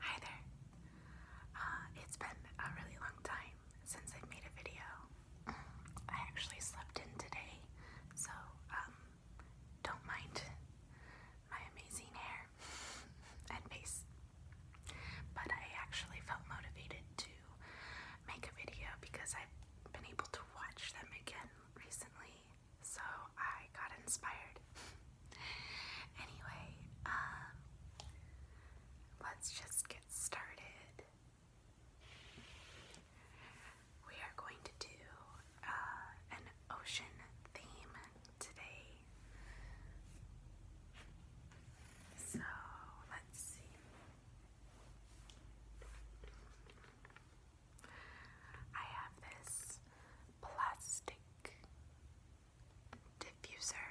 Hi there. Uh, it's been a really long time since i made a video. I actually slept in today, so um, don't mind my amazing hair and face. But I actually felt motivated to make a video because I've been able to watch them again recently so I got inspired. anyway, um, let's just get started. We are going to do uh, an ocean theme today. So let's see. I have this plastic diffuser.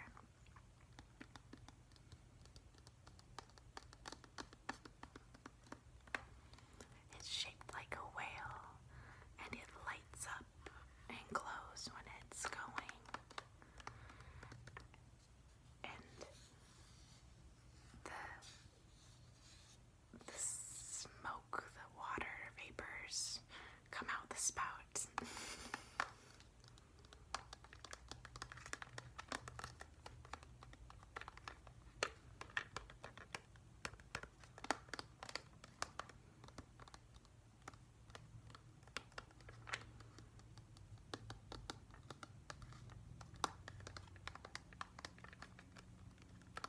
It's shaped like a whale and it lights up and glows when it's going. And the the smoke, the water vapors come out the spout.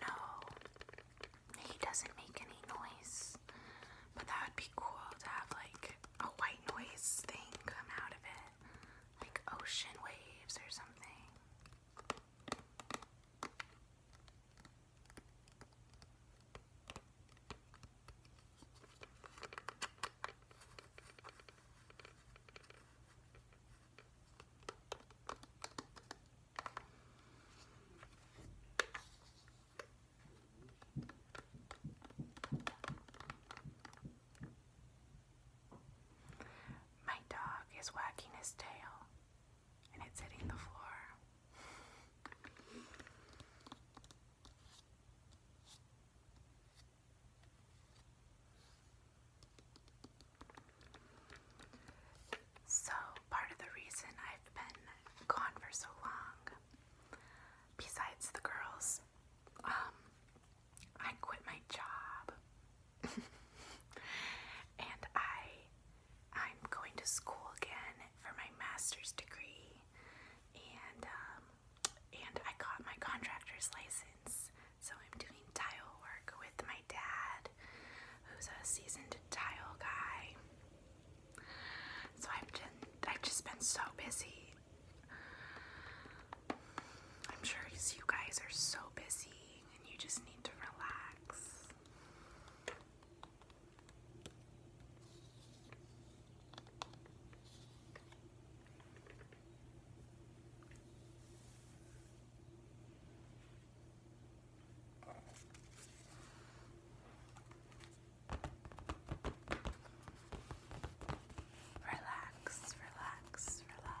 No, he doesn't make any noise, but that would be cool to have like a white noise thing come out of it, like ocean waves or something. My dog is wagging his tail and it's hitting the floor. So, part of the reason I've been gone for so long, besides the girls, um, I quit my job and I I'm going to school again for my master's degree, and um, and I got my contractor's license. So I'm doing tile work with my dad, who's a seasoned tile guy. So I've just I've just been so busy. I'm sure you guys are so busy and you just need to relax. Relax, relax, relax.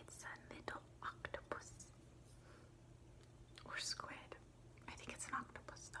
It's a little octopus or squid. I think it's an octopus though.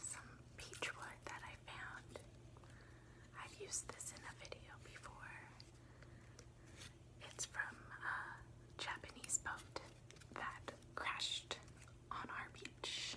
Some peach wood that I found. I've used this in a video before. It's from a Japanese boat that crashed on our beach.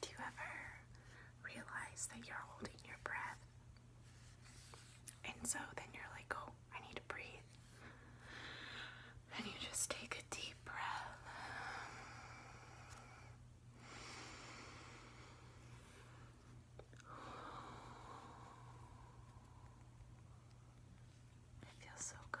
Do you ever realize that you're holding your breath? And so then you're like, oh, I need to breathe. And you just take a deep breath. It feels so good.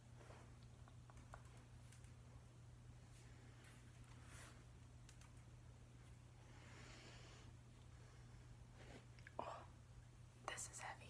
Oh, this is heavy.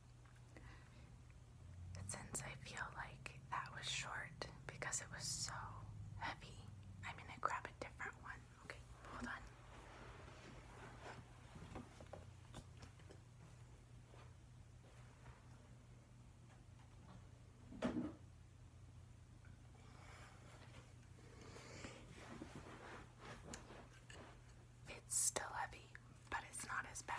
Since I feel like that was short because it was so heavy, I'm gonna grab a different one. Okay, hold on. It's still heavy, but it's not as bad.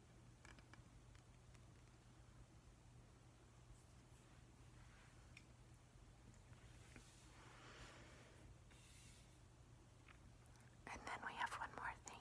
And then we have one more thing.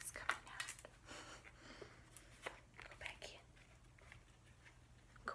It's coming out. Go back in. Go.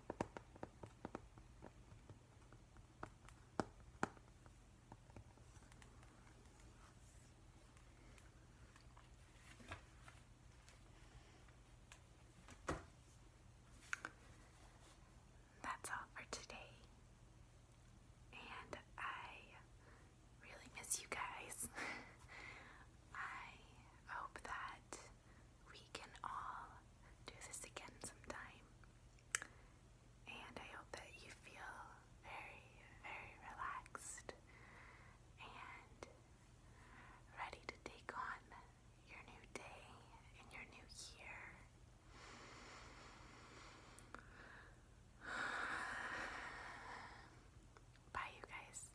That's all for today. And I really miss you guys. I hope that we can all do this again sometime. And I hope that you feel very, very relaxed and ready to take on your new day and your new year. Bye, you guys.